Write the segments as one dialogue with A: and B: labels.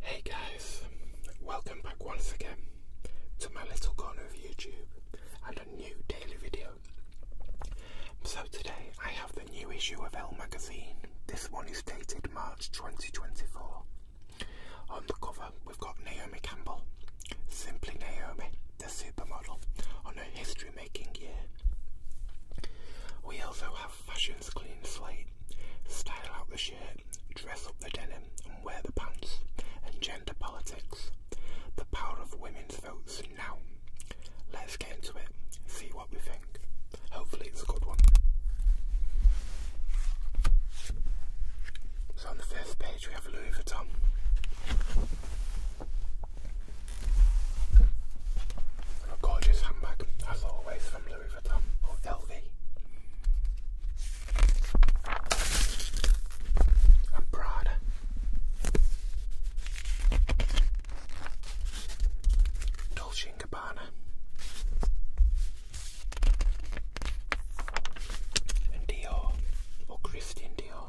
A: Hey guys, welcome back once again to my little corner of YouTube and a new daily video. So today I have the new issue of Elle magazine. This one is dated March 2024. On the cover we've got Naomi Campbell, simply Naomi the supermodel on her history making year. We also have fashion's clean slate, style out the shirt, dress up the denim and wear the pants, and gender politics, the power of women's votes now. Let's get into it, see what we think. Hopefully it's a good one. So on the first page we have Louis Vuitton a gorgeous handbag, as always, from Louis Vuitton or LV. Prada. Dolce & Gabbana. And Dior, or Christian Dior.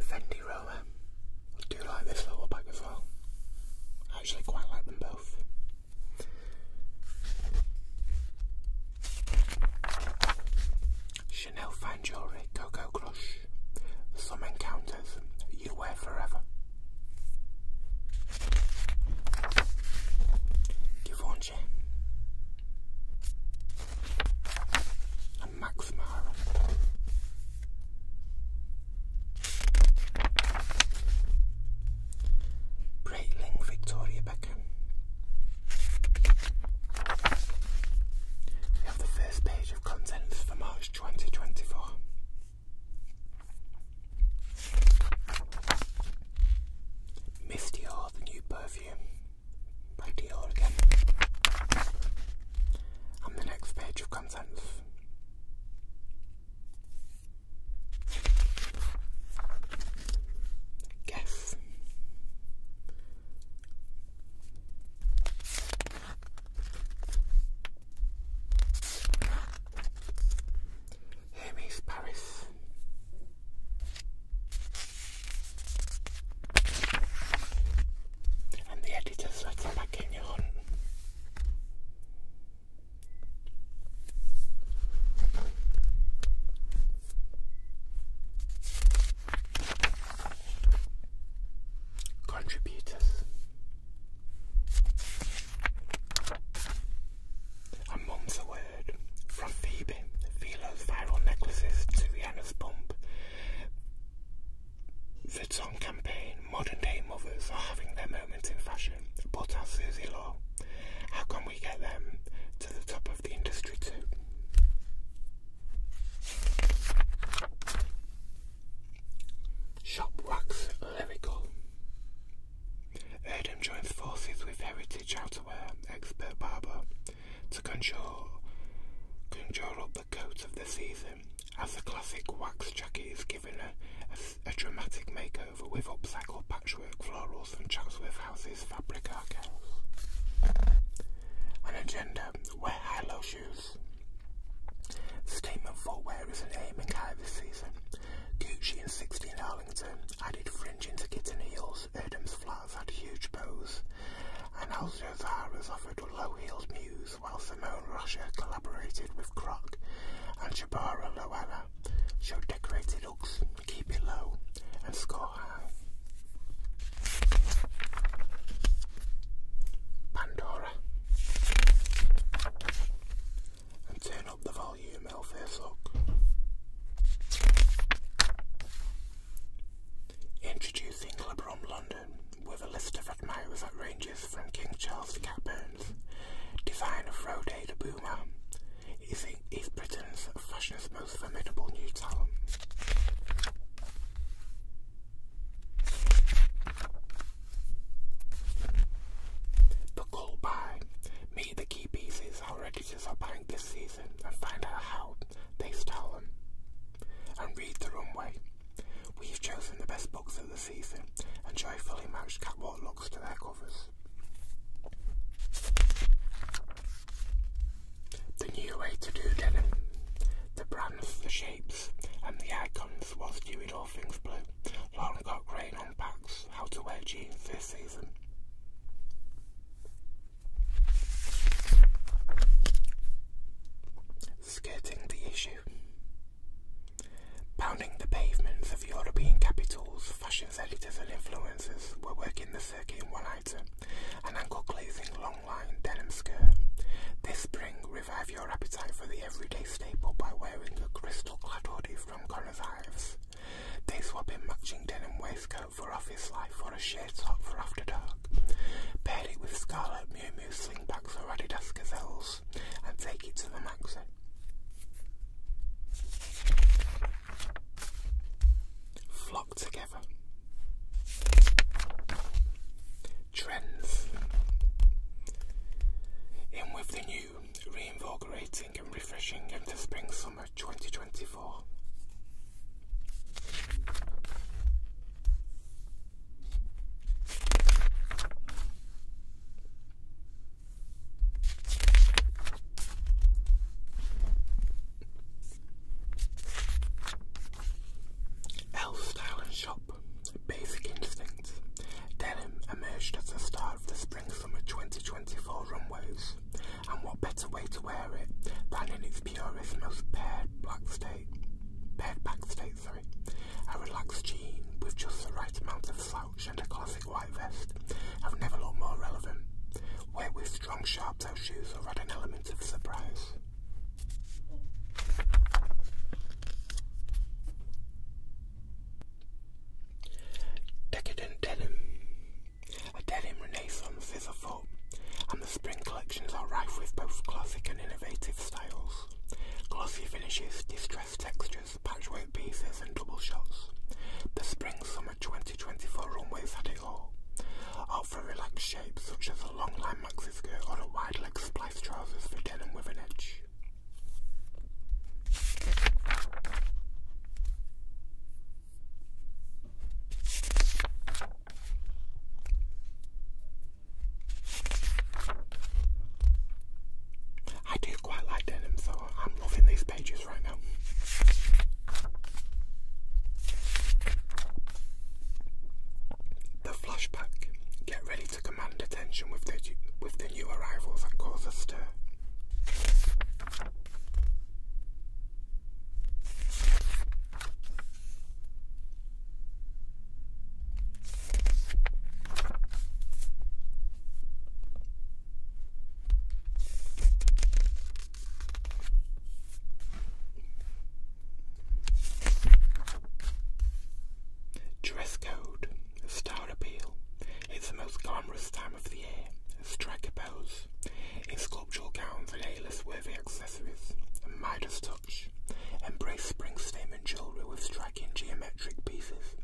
A: Fendi roller. I do like this little bag as well. I actually quite like them both. Chanel fan jewellery, Coco Crush. Some encounters you wear forever. Yvonne a Max Mara. Breitling Victoria Beckham. We have the first page of contents for March 2024. Misty Or, the new perfume back to yellow again. And the next page of contents. Guess. Hermes Paris. And the editor's letter back in your Contributors and months from Phoebe, Philo's viral necklaces to Rihanna's bump. Vuitton campaign, modern day mothers are having their moments in fashion, but as Susie Law, how can we get them to the top of the industry too? Shop Wax Lyrical. Adam joins forces with Heritage teach expert barber to control conjure up the coat of the season, as the classic wax jacket is given a, a, dramatic makeover with upcycled patchwork florals from Chatsworth House's fabric archive. An agenda, wear high-low shoes. Statement footwear is aim in high this season. Gucci and 16 Arlington added fringe into kitten heels Adams Edom's had huge bows, and was offered low-heeled muse, while Simone Russia collaborated with Croc, and Jabara Loella showed decorated hooks, keep it low, and score high. Pandora. And turn up the volume. Malfazok. Introducing Clubrom London with a list of admirers that ranges from King Charles to Cat of Rode to Boomer, is East Britain's fashion's most formidable new talent. The call by Meet the Key Pieces already purchase a this season and find out how, taste tell them, and read the runway. We've chosen the best books of the season and joyfully matched catwalk looks to their covers. The new way to do denim, the brands, the shapes, and the icons was doing all things blue, Lauren got great unpacks how to wear jeans this season. Skirting the issue. Pounding the pavements of European capitals, fashion editors and influencers were working the circuit in one item, an ankle-glazing long-line denim skirt. This spring, revive your appetite for the everyday staple by wearing a crystal-clad hoodie from Corin's they swap in matching denim waistcoat for office life or a shirt top for after dark. Pair it with scarlet Miu Miu slingbacks or Adidas gazelles and take it to the maxi. Flock together. Trends. In with the new reinvigorating and refreshing into spring summer 2024. L Style and Shop Basic Instinct Denim emerged as the star of the spring summer 2024 runways, and what better way to wear it than in its purest, most paired black state, paired back state, sorry. A relaxed jean with just the right amount of slouch and a classic white vest have never looked more relevant. Wear with strong sharp toe shoes or add an element of surprise. Decadent denim. A denim renaissance is afoot, and the spring collections are rife with both classic and innovative styles. Glossy finishes, distressed textures, patchwork pieces, and double shots. The spring summer 2024 runway had it all. Opt for relaxed shapes such as a long line maxi skirt or a wide leg spliced trousers for denim with an edge. I do quite like denim, so I'm loving these pages right now. The flashback. Get ready to command attention with the, with the new arrivals that cause a stir. Dress code. Stout appeal. It's the most glamorous time of the year. Strike a pose in sculptural gowns and a worthy accessories. A Midas touch. Embrace spring statement jewellery with striking geometric pieces.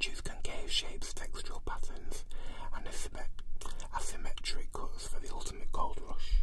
A: Choose concave shapes, textural patterns, and asymmetric cuts for the ultimate gold rush.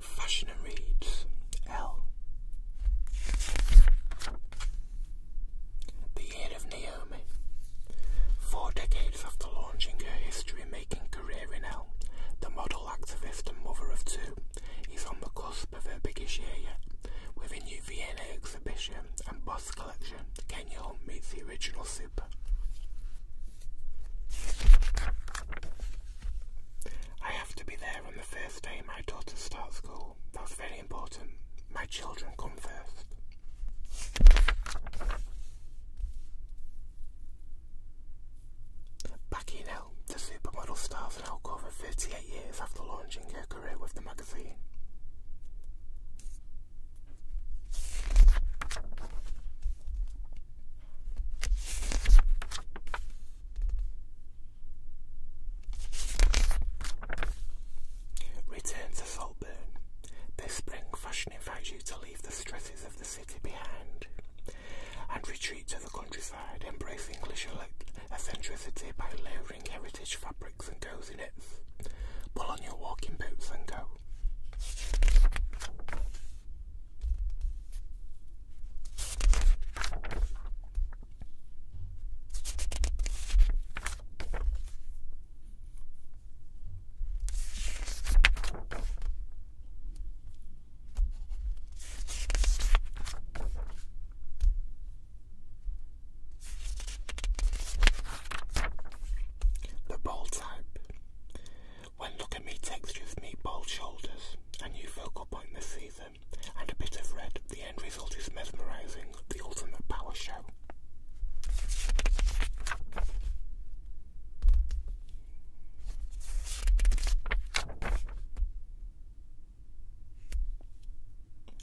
A: Fashion and Reads L. The Year of Naomi. Four decades after launching her history making career in L, the model, activist, and mother of two is on the cusp of her biggest year yet, with a new Vienna exhibition and body House Collection, Kenyo meets the original Super. I have to be there on the first day my daughter starts school. That's very important. My children come first. Back in L, the supermodel stars are now over 38 years after launching her career with the magazine. Return to Saltburn. This spring, fashion invites you to leave the stresses of the city behind and retreat to the countryside, embrace English eccentricity by layering heritage fabric and goes in it. Pull on your walking boots and go. The ball type. When Look at Me textures me bold shoulders, a new focal point this season, and a bit of red, the end result is mesmerising, the ultimate power show.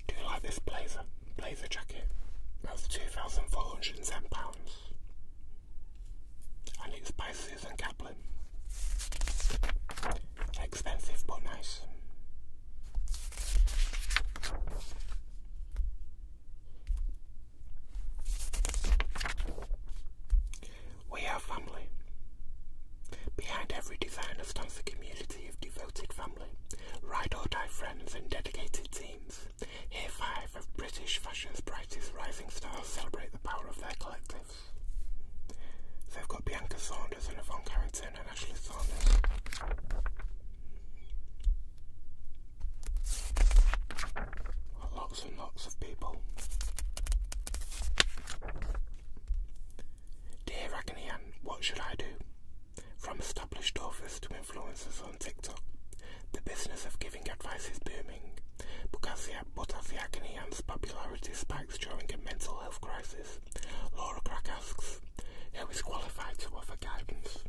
A: Do you like this blazer? Blazer jacket. That's £2,410. And it's by Susan Kaplan. Expensive but nice. We are family. Behind every designer stands a community of devoted family, ride or die friends, and dedicated team here, five of British fashion's brightest rising stars celebrate the power of their collectives. they've got Bianca Saunders and Yvonne Carrington and Ashley Saunders. lots and lots of people. Dear Agony what should I do? From established authors to influencers on TikTok, the business of giving advice is booming, but as, the, the agony and popularity spikes during a mental health crisis, Laura Crack asks, who is qualified to offer guidance?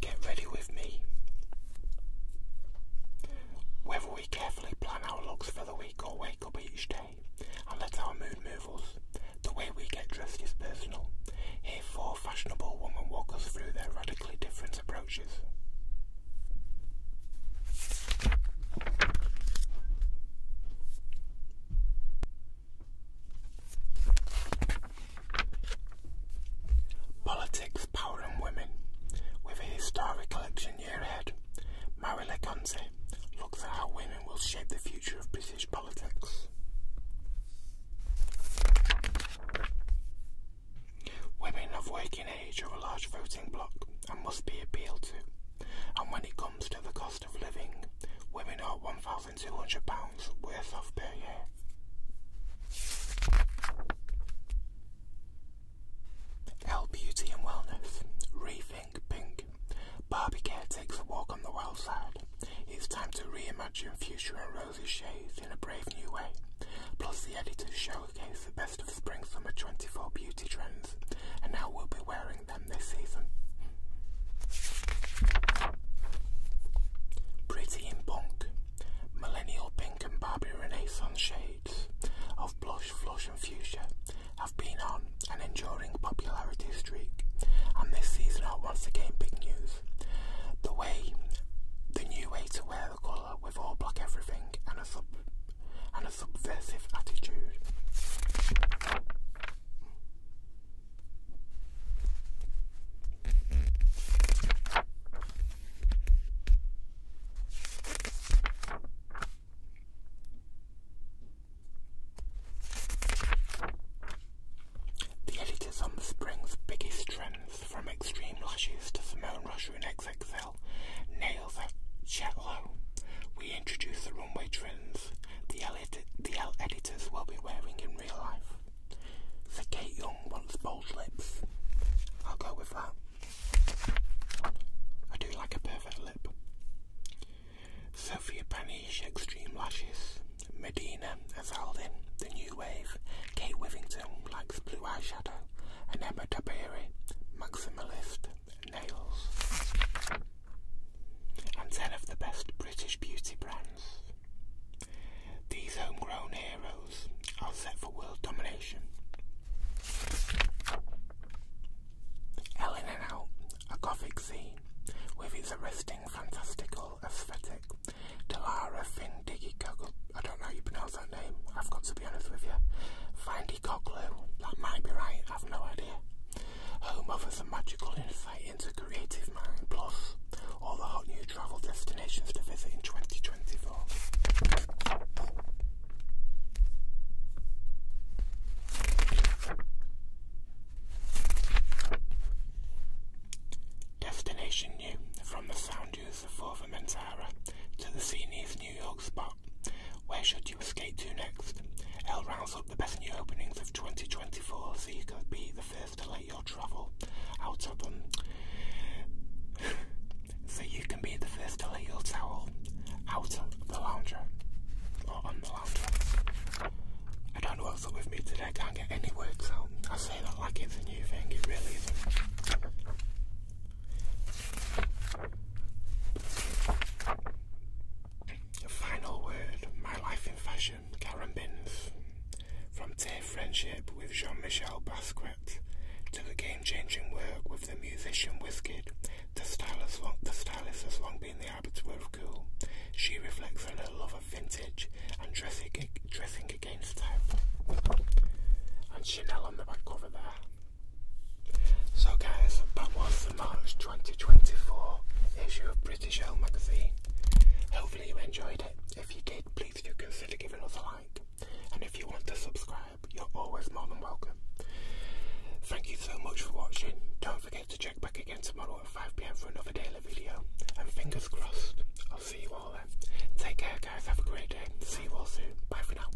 A: Get ready with me. Whether we carefully plan our looks for the week or wake up each day and let our mood move us, the way we get dressed is personal. Here, four fashionable women walk us through their radically different approaches. Politics, Power and Women, with a historical election year ahead, Mary Leconte looks at how women will shape the future of British politics. Women of working age are a large voting bloc and must be appealed to, and when it comes to the cost of living, women are £1,200 pounds beauty and wellness. Rethink pink. Barbie Care takes a walk on the wild side. It's time to reimagine future and rosy shades in a brave new way. Plus, the editors showcase the best of spring summer 24 beauty trends, and now we'll be wearing them this season. Pretty in Punk. Millennial pink and Barbie Renaissance shades of blush, flush, and fuchsia have been on an enduring popularity streak, and this season are once again big news. The way, the new way to wear the colour with all black everything and a sub and a subversive attitude. The editors on the spring's biggest trends, from extreme lashes to Simone Rocher and XXL, nails at Chetlow. We introduce the runway trends the, editors will be wearing in real life. Kate Young wants bold lips. I'll go with that. I do like a perfect lip. Sophia Panish, Extreme Lashes. Medina Azaldin, The New Wave. Kate Withington likes blue eyeshadow. And Emma Taberi, Maximalist Nails. And 10 of the best British beauty brands. These homegrown heroes are set for world domination. Ellen and Out, a gothic scene with its arresting fantastical aesthetic. Delara Findiggy I don't know you pronounce that name, I've got to be honest with you. Findy that might be right, I've no idea. Home offers a magical to Creative Mind Plus all the hot new travel destinations to visit in 2024. Destination New from the sound dunes of Formentera to the Senior's New York spot. Where should you escape to next? L rounds up the best new openings of 2024 so you could be the first to your travel out of them so you can be the first to lay your towel out of the lounger or on the lounger. I don't know what's up with me today, I can't get any words out. I say that like it's a new thing, it really isn't. Final word, my life in fashion. Carambins. From Tay friendship with Jean-Michel Basquiat to the game-changing work with the musician Wizkid, the style, has long, been the arbiter of cool. She reflects on her love of vintage and dressing, against type. And Chanel on the back cover there. So guys, that was the March 2024 issue of British magazine. Hopefully you enjoyed it. If you did, please do consider giving us a like. And if you want to subscribe, you're always more than welcome. Thank you so much for watching. Don't forget to check back again tomorrow at 5pm for another daily video. And fingers crossed, I'll see you all then. Take care guys, have a great day. See you all soon. Bye for now.